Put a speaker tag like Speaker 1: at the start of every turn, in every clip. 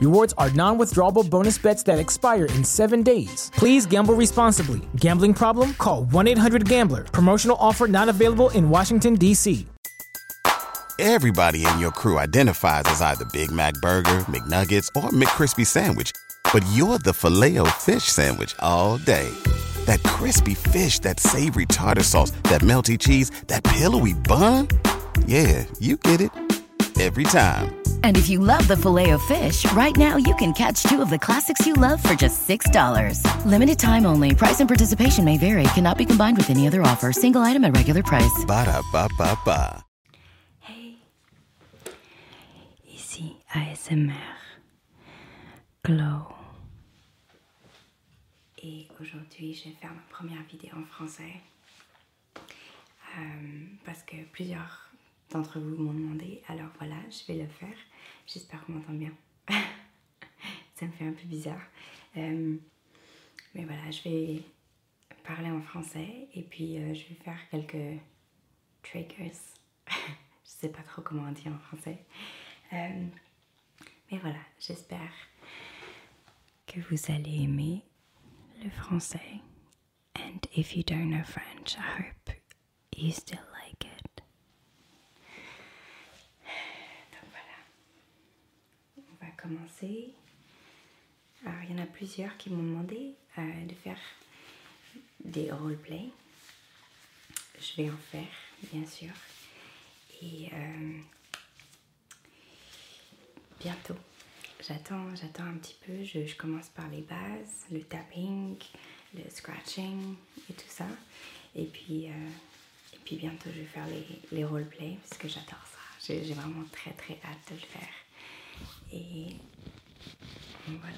Speaker 1: Rewards are non withdrawable bonus bets that expire in seven days. Please gamble responsibly. Gambling problem? Call 1 800 Gambler. Promotional offer not available in Washington, D.C.
Speaker 2: Everybody in your crew identifies as either Big Mac Burger, McNuggets, or McCrispy Sandwich, but you're the filet o fish Sandwich all day. That crispy fish, that savory tartar sauce, that melty cheese, that pillowy bun. Yeah, you get it every time.
Speaker 1: And if you love the filet of fish,
Speaker 2: right now you can catch two of the classics you love for just $6. Limited time only. Price and participation may vary. Cannot be combined with any other offer. Single item at regular price. Ba da ba Hey. Ici ASMR. Glow. Et aujourd'hui, je vais faire ma première vidéo en français. Euh, parce que plusieurs d'entre vous m'ont demandé, alors voilà, je vais le faire. J'espère qu'on m'entend bien. Ça me fait un peu bizarre. Euh, mais voilà, je vais parler en français et puis euh, je vais faire quelques triggers. je sais pas trop comment on dit en français. mais voilà, j'espère que vous allez aimer le français And if you don't know French, I hope que vous like it. Donc voilà, on va commencer. Alors il y en a plusieurs qui m'ont demandé euh, de faire des role roleplays. Je vais en faire, bien sûr. Et euh, bientôt, j'attends, j'attends un petit peu. Je, commence par les bases, le tapping, le scratching et tout ça. Et puis, euh, et puis bientôt, je vais faire les, les roleplays parce que j'adore ça. J'ai vraiment très très hâte de le faire. Et voilà.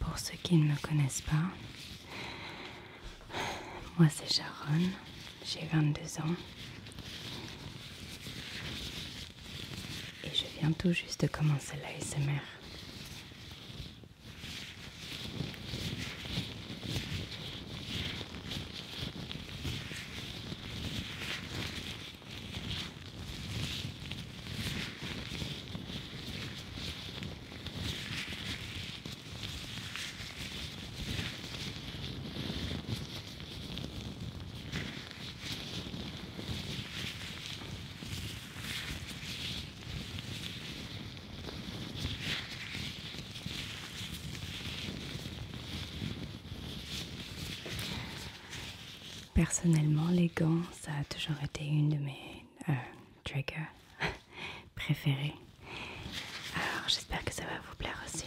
Speaker 2: Pour ceux qui ne me connaissent pas, moi, c'est Sharon, j'ai 22 ans. Et je viens tout juste de commencer l'ASMR. Personnellement, les gants, ça a toujours été une de mes euh, triggers. préféré Alors j'espère que ça va vous plaire aussi.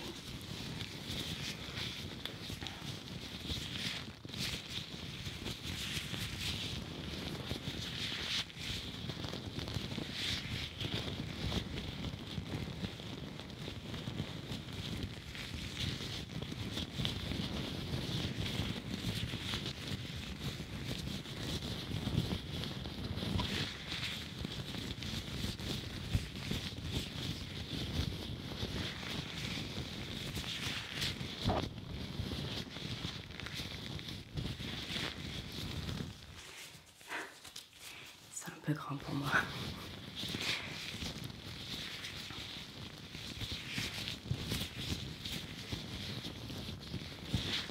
Speaker 2: C'est un peu grand pour moi.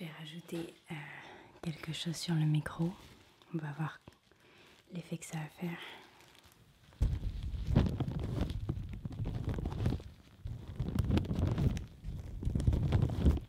Speaker 2: Je vais rajouter euh, quelque chose sur le micro. On va voir l'effet que ça va faire.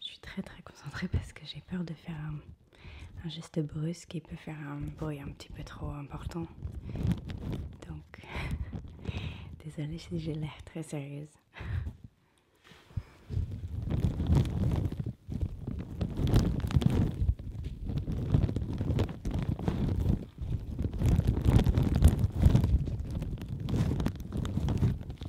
Speaker 2: Je suis très très concentrée parce que j'ai peur de faire un, geste brusque et peut faire un bruit un petit peu trop important. Donc, désolée si j'ai l'air très sérieuse.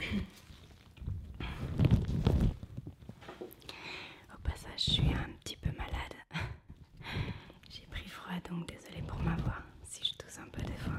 Speaker 2: Au passage, je suis un petit peu malade. J'ai pris froid, donc désolé pour ma voix si je tousse un peu de fois.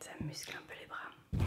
Speaker 2: Ça muscle un peu les bras.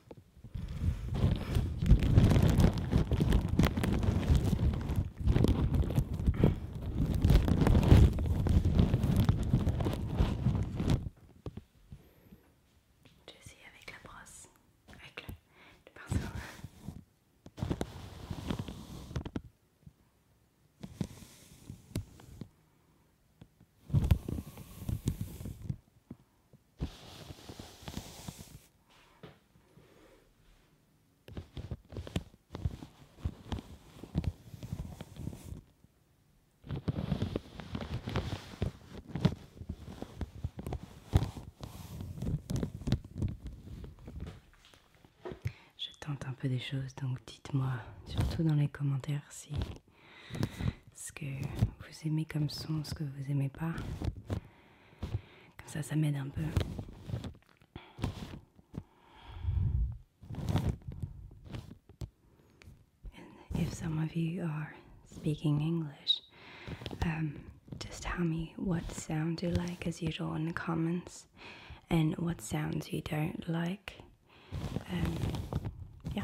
Speaker 2: J'essaie avec la brosse, avec le, le pinceau. Je tente un peu des choses, donc dites-moi surtout dans les commentaires si if some of you are speaking English, um, just tell me what sounds you like as usual in the comments and what sounds you don't like. Um, yeah.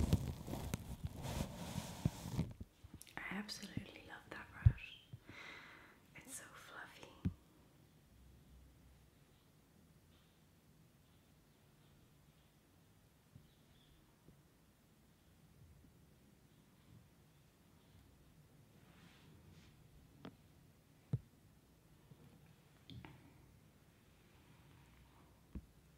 Speaker 2: I absolutely love that brush. It's so fluffy.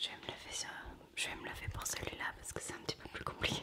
Speaker 2: Je vais me lever ça, Je vais me laver pour celui-là parce que c'est un petit peu plus compliqué.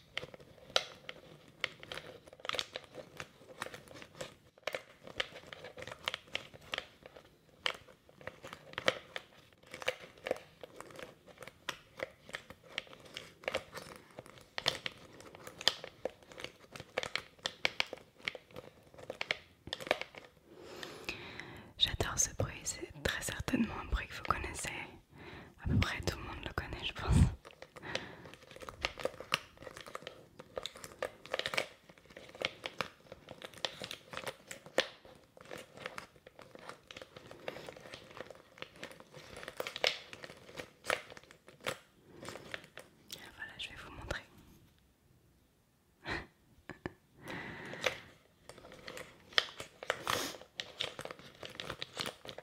Speaker 2: J'adore ce bruit, c'est très certainement un bruit que vous connaissez. À peu près tout le monde le connaît, je pense. Voilà, je vais vous montrer.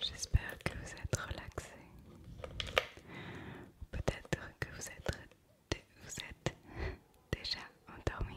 Speaker 2: J'espère que vous êtes relaxé. Peut-être que vous êtes, vous êtes déjà endormi.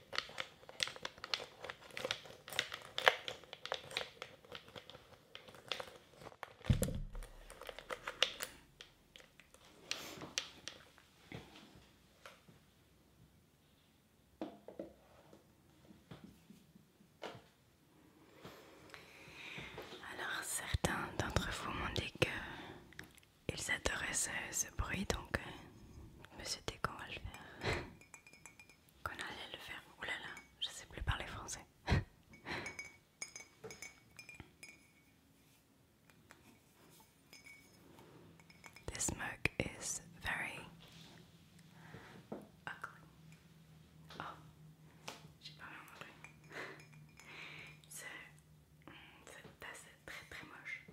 Speaker 2: Alors certains d'entre vous m'ont dit que ils adoraient ce, bruit donc euh, monsieur me qu'on allait le faire. Ouh là là, je sais plus parler français. This mug is very ugly. Oh, j'ai pas en anglais mm, C'est assez très très moche. Euh,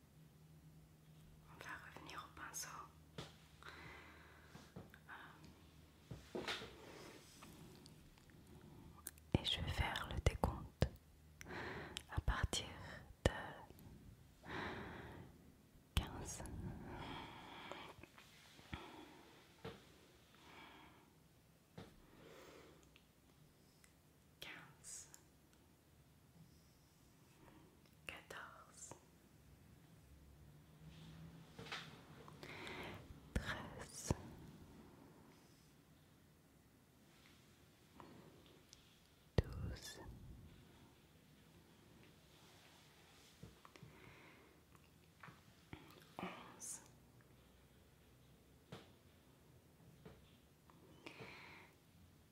Speaker 2: On va revenir au pinceau. Euh, et je vais faire le décompte à partir de 15. Quinze, quatorze, treize, 12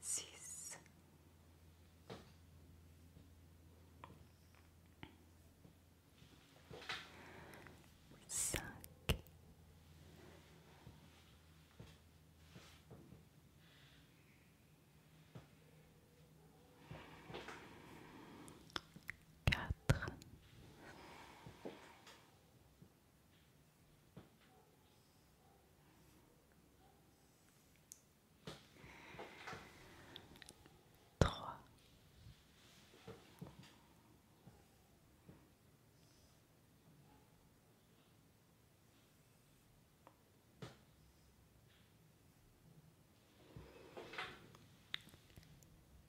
Speaker 2: six, cinq. Quatre, Trois.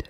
Speaker 2: Deux.